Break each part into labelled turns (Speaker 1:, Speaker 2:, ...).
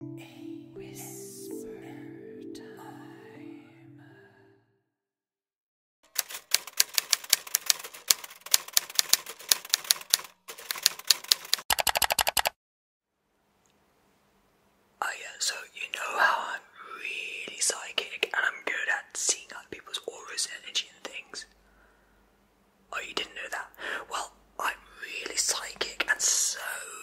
Speaker 1: whisper Oh yeah, so you know how I'm really psychic and I'm good at seeing other people's auras energy and things. Oh, you didn't know that? Well, I'm really psychic and so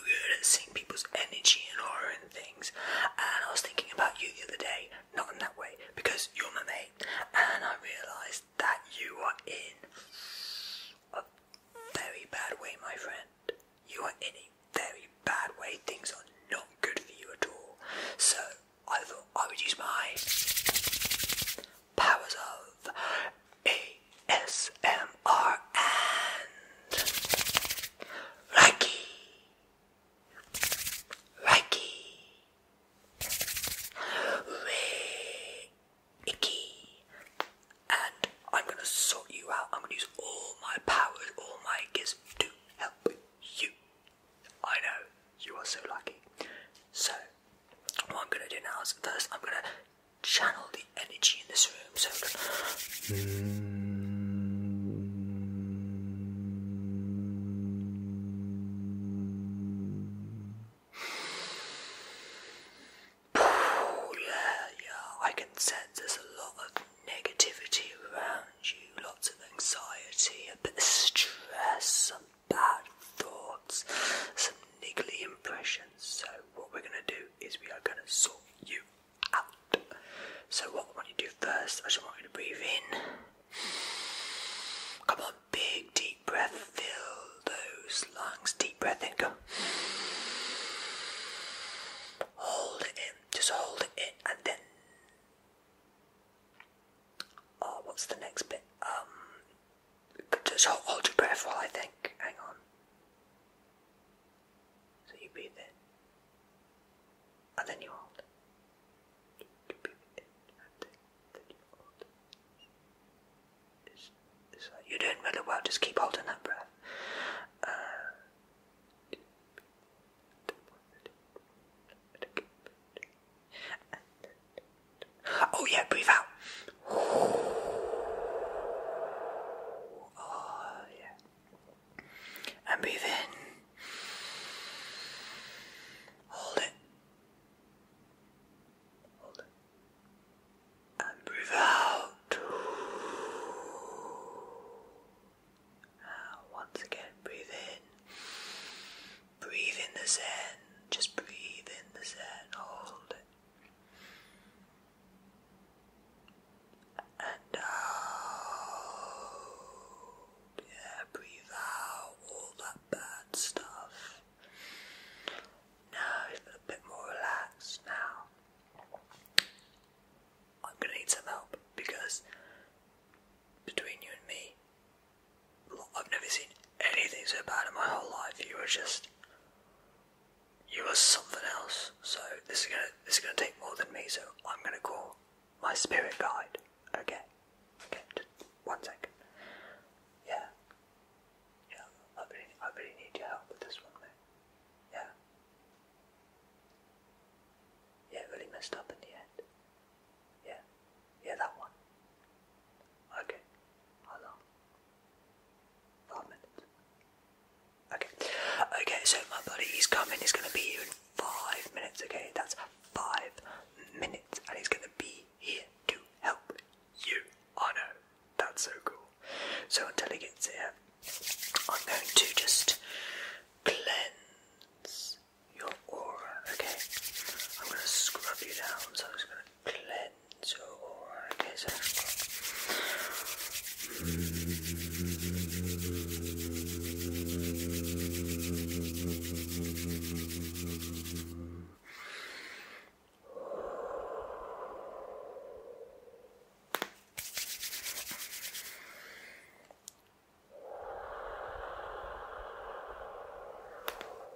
Speaker 1: good at seeing people's energy and aura and things. And I was thinking about you the other day, not in that way, because you're my mate, and I realised that you are in a very bad way, my friend. You are in a very bad way. Things are not good for you at all. So I thought I would use my powers of ASMR and Reiki. Reiki. Reiki. And I'm going to sort you out. I'm going to use all my powers, all my gifts to help you. I know, you are so lucky. So, what I'm going to do now is first I'm going to channel the energy in this room so I can yeah, yeah, I can sense there's a lot of negativity around you, lots of anxiety, a bit of stress, some bad thoughts, some niggly impressions, so what we're gonna do is we are gonna sort you out. So what I want you to do first, I just want you to breathe in. Come on, big deep breath, fill those lungs, deep breath in, go. Hold it in, just hold it in and then Oh, what's the next bit? Um just hold, your breath while I think. Hang on. So you breathe in. And then you hold. You are doing really well, just keep holding that breath. Uh, Oh, yeah, breathe out. Oh, and breathe in. Hold it. And breathe out. once again, breathe in. Breathe in the Zen. Just breathe in the Zen. Hold it. And out. Uh, yeah, breathe out all that bad stuff. Now you feel a bit more relaxed now. I'm gonna need some help because between you and me, I've never seen anything so bad in my whole life. You were just, you were something else. So this is gonna, this is gonna take more than me. So I'm gonna call my spirit guide. Okay, okay, one second. Yeah, yeah. I really, I really need your help with this one, mate. Yeah, yeah. Really messed up in the end. Yeah, yeah. That one. Okay. How long? Okay. Okay, so my buddy is coming, he's gonna be here in five minutes, okay? That's five minutes, and he's gonna be here to help you. I know. That's so cool. So until he gets here, I'm going to just cleanse your aura, okay? I'm gonna scrub you down, so I'm just gonna cleanse your desire. Good.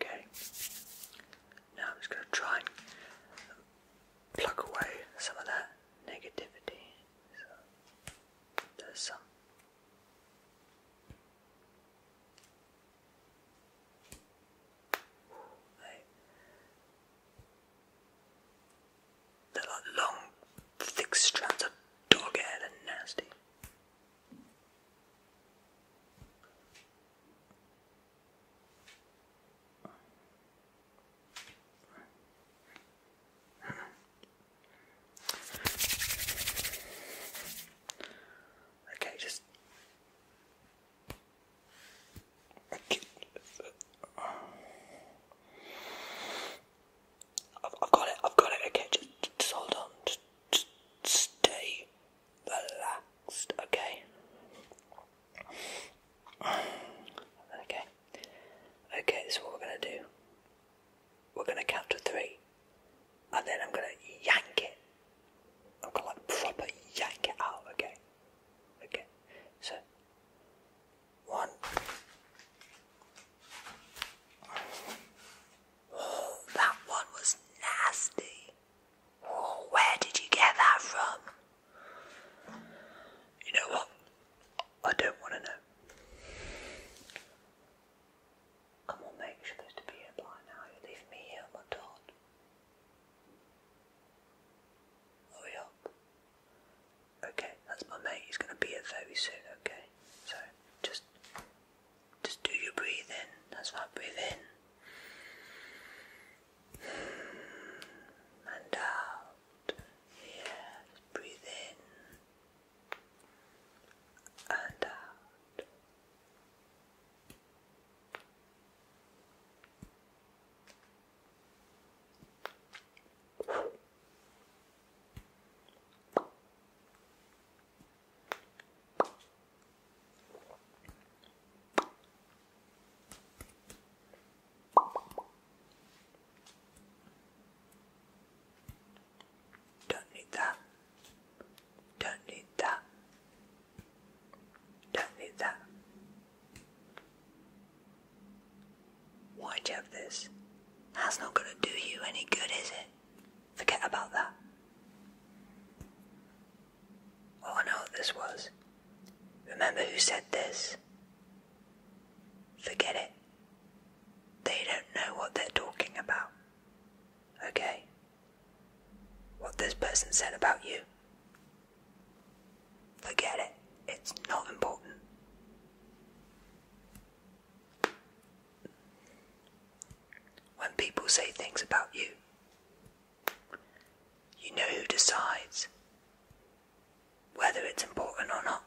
Speaker 1: Okay. Now I'm just going to try and pluck away some of that negativity. there's some. They're like long, thick strands of dog hair. and nasty. okay, just. Okay. I've, got it, I've got it, okay, just, hold on, just, just stay relaxed, okay? Okay, okay, this what we're going to do. We're going to count to three, and then I'm going to yank it. I'm going to like proper yank it out, okay? Okay, so one. Oh, that one was nasty. Oh, where did you get that from? You know what? I don't want to know. Come on, mate, you're supposed to by now. You're me here on my dot. Hurry up. Okay, that's my mate. He's going to be here very soon, okay? So, just just do your breathing. That's my breathing. And out. Yeah, breathe in. And out. Don't need that. Don't need that. Don't need that. Why'd you have this. That's not gonna do you any good, is it? Forget about that. Oh, I know what this was. Remember who said this? Forget it. They don't know what they're talking about. Okay? What this person said about you. Forget it. It's not important. When people say things about you, you know who decides whether it's important or not.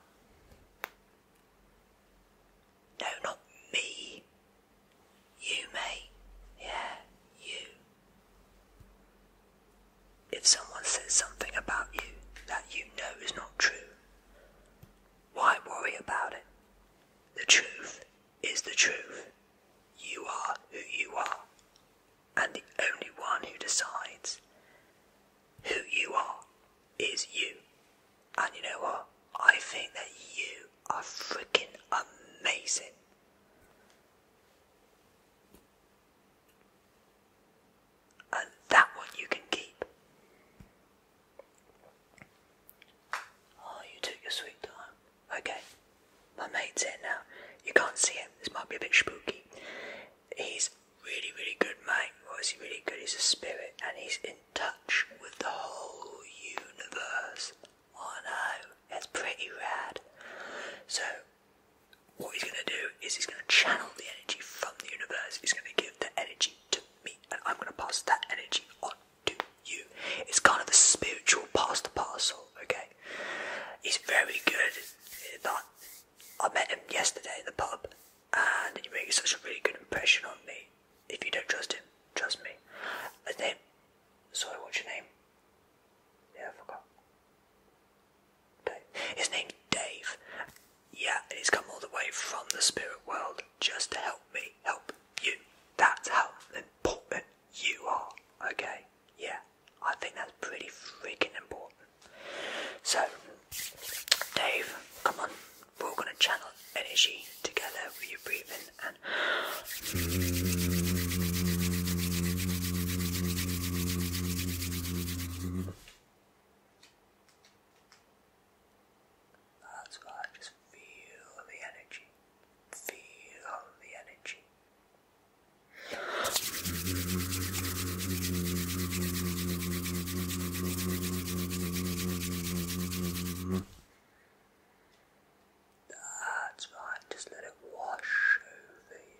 Speaker 1: No, not me. You, mate. Yeah, you. If someone says something about you that you know is not true, why worry about it? The truth is the truth. You are who you are, and the only one who decides who you are is you. And you know what? I think that you are freaking amazing that one you can keep. Oh, you took your sweet time. Okay, my mate's here now. You can't see him. This might be a bit spooky. He's really, really good, mate. Or he really good? He's a spirit, and he's in touch with the whole universe. Oh no, that's pretty rad. So what he's going to do is he's going to channel the energy from the universe. He's going to give the energy to me, and I'm going to pass that energy on to you. It's kind of a spiritual pass the parcel, okay? He's very good I met him yesterday in the pub, and he makes such a really good impression on me. If you don't trust him, trust me. His name. Sorry, what's your name? I forgot. Dave. His name's Dave. Yeah, he's come all the way from the spirit world just to help me help you. That's how important you are, okay? Yeah, I think that's pretty freaking important. So, Dave, come on, we're all gonna channel energy together with your breathing that's right, just feel the energy. Feel the energy. That's right, just let it wash over you.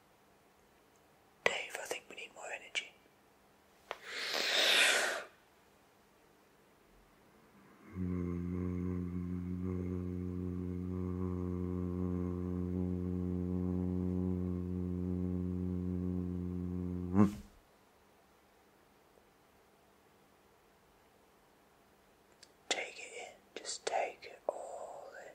Speaker 1: Dave, I think we need more energy. Take it in, just take it all in.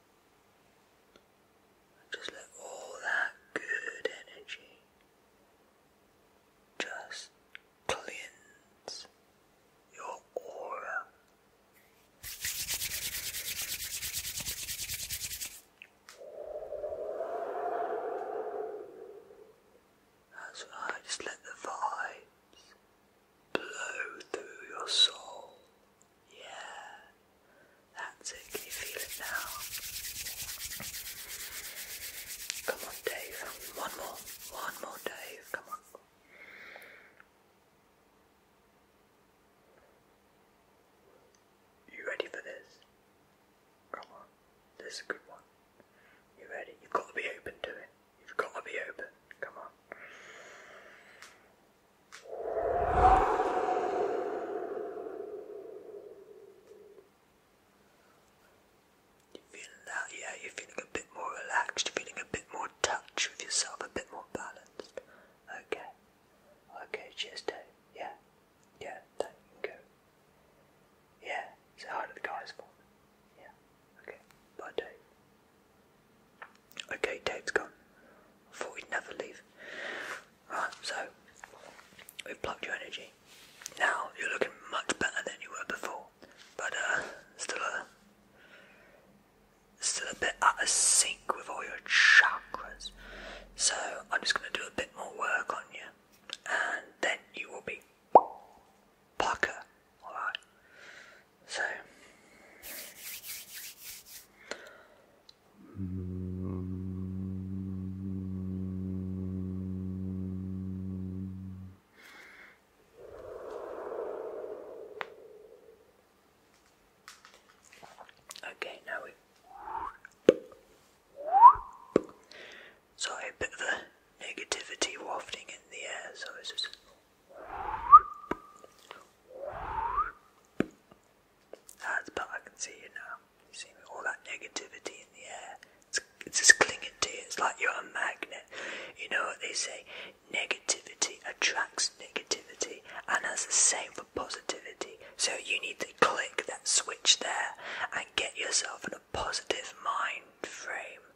Speaker 1: Just let all that good energy just cleanse your aura. That's right, just let the vibes blow through your soul yeah, that's it. you feel it now? Come on, Dave. One more. One more, Dave. Come on. You ready for this? Come on. This is a good one. You ready? You've got to be open to it. You've got to be open. Come on. You feeling that? Yeah, you're feeling a bit more relaxed. You're feeling a bit more touch with yourself, a bit more balanced. Okay. Okay. Cheers, Dave. Yeah. Yeah. That you go. Yeah. Say hi to the guys for me. Yeah. Okay. Bye, Dave. Okay, Dave's gone. I thought he'd never leave. Right, so we've plugged your energy. Now you're looking much better than you were before, but uh, still a still a bit out of sync with all your chakras. So I'm just going to do a bit more work on you, and then you will be Parker. So. Okay, now we. Sorry, a bit of a negativity wafting in the air, so it's just. That's but I can see you now. You see all that negativity in the air. It's, it's just clinging to you. It's like you're a magnet. You know what they say? Negativity attracts negativity, and that's the same for positivity. So you need to click that switch there and get yourself in a positive mind frame.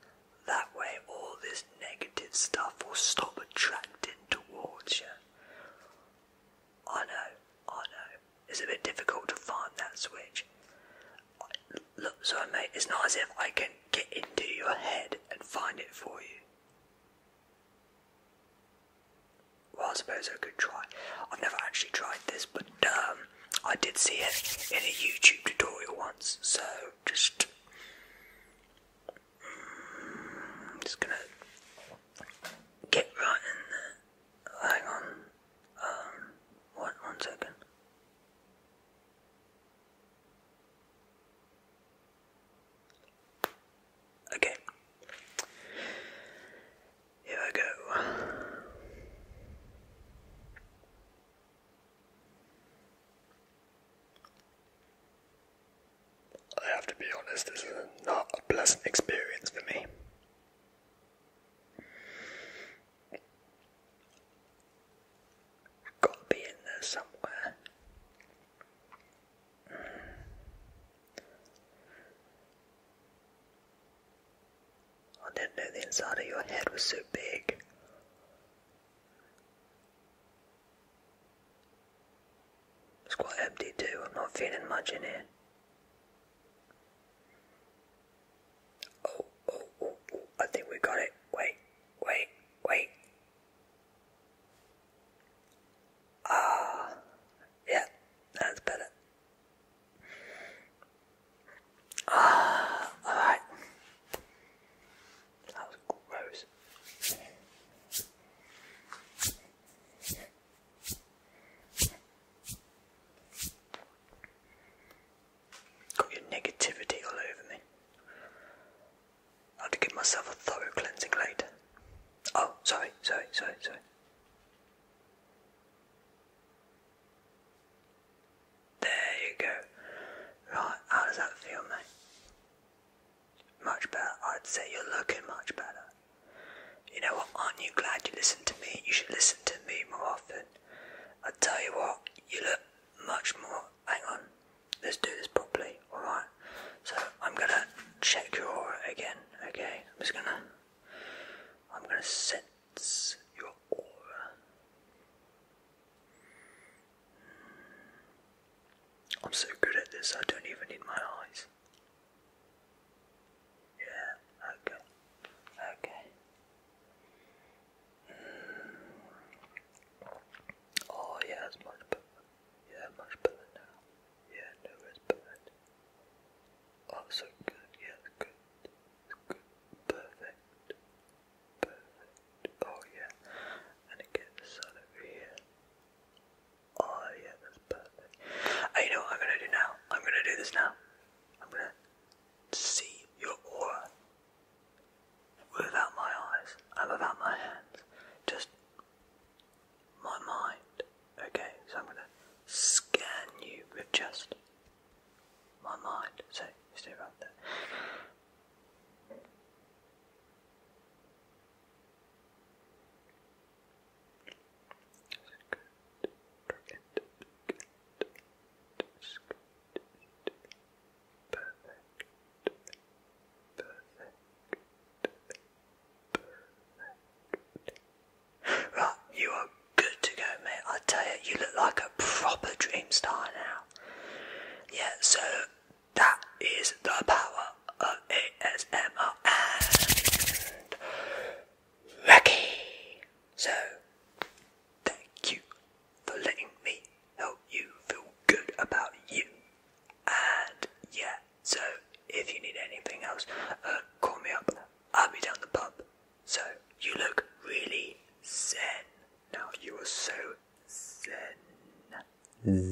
Speaker 1: That way, all this negative stuff will stop attracting towards you. I know, I know. It's a bit difficult to find that switch. look, so mate, it's not as if I can get into your head and find it for you. Well, I suppose I could try. I've never actually tried this, but um, I did see it in a YouTube tutorial once, so just I'm just gonna get right in there. Hang on. Um, one, one second. Okay. Here I go. I have to be honest, this is not a pleasant experience for me. Gotta be in there somewhere. I didn't know the inside of your head was so big. It's quite empty too, I'm not feeling much in here. Oh, oh, oh, oh, I think we got it. Wait, wait, wait. Ah, yeah, that's better. Alright. That was gross. Got your negativity all over me. I have to give myself a thorough cleansing later. Oh, sorry, sorry, sorry, sorry. There you go. Right, how does that feel, mate? Much better. I'd say you're looking much better. You know what? Aren't you glad you listened to me? You should listen to me more often. I tell you what, you look much more. Hang on, let's do this properly, alright? So, I'm gonna check your aura again, okay? I'm just gonna. I'm gonna sit sense your aura. Hmm. I'm so good at this, I don't even need my eyes. Yeah, okay, okay. Hmm. Oh, yeah, that's much better. Yeah, much better now. Yeah, no, it's bad. Oh, good. Yeah, good. good. Perfect. Oh yeah. And it gets the sun Oh yeah, that's perfect. And know I'm gonna do now? I'm gonna do this now. I'm gonna see your aura without my eyes and without my hands. Just my mind. Okay, so I'm gonna scan you with just my mind. So stay right there. Perfect. Perfect. Perfect. Right, you are good to go, mate. I tell you, you look like a proper dream star now. Yeah, so that is the power of ASMR and Reiki. So, thank you for letting me help you feel good about you. And yeah, so if you need anything else, uh, call me up. I'll be down the pub. So you look really zen. Now you are so zen.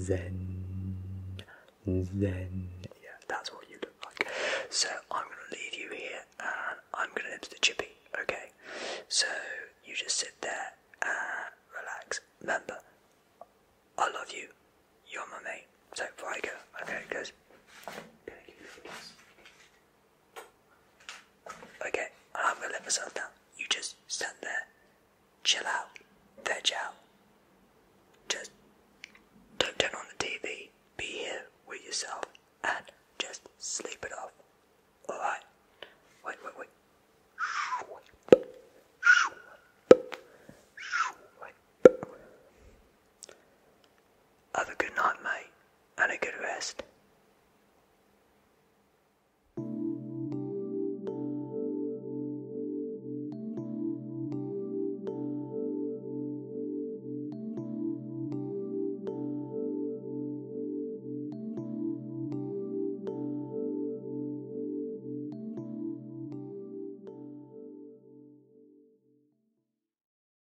Speaker 1: Zen. Zen. Yeah, that's what you look like. So I'm gonna leave you here and I'm gonna into the chippy, okay? So you just sit there and relax. Remember, I love you. You're my mate. So before I go, I'm gonna go. Okay, I'm gonna let myself down. You just stand there, chill out, veg out. Just don't turn on the TV, be here with yourself, and just sleep it off. Alright? Wait, wait, wait. Have a good night, mate, and a good rest.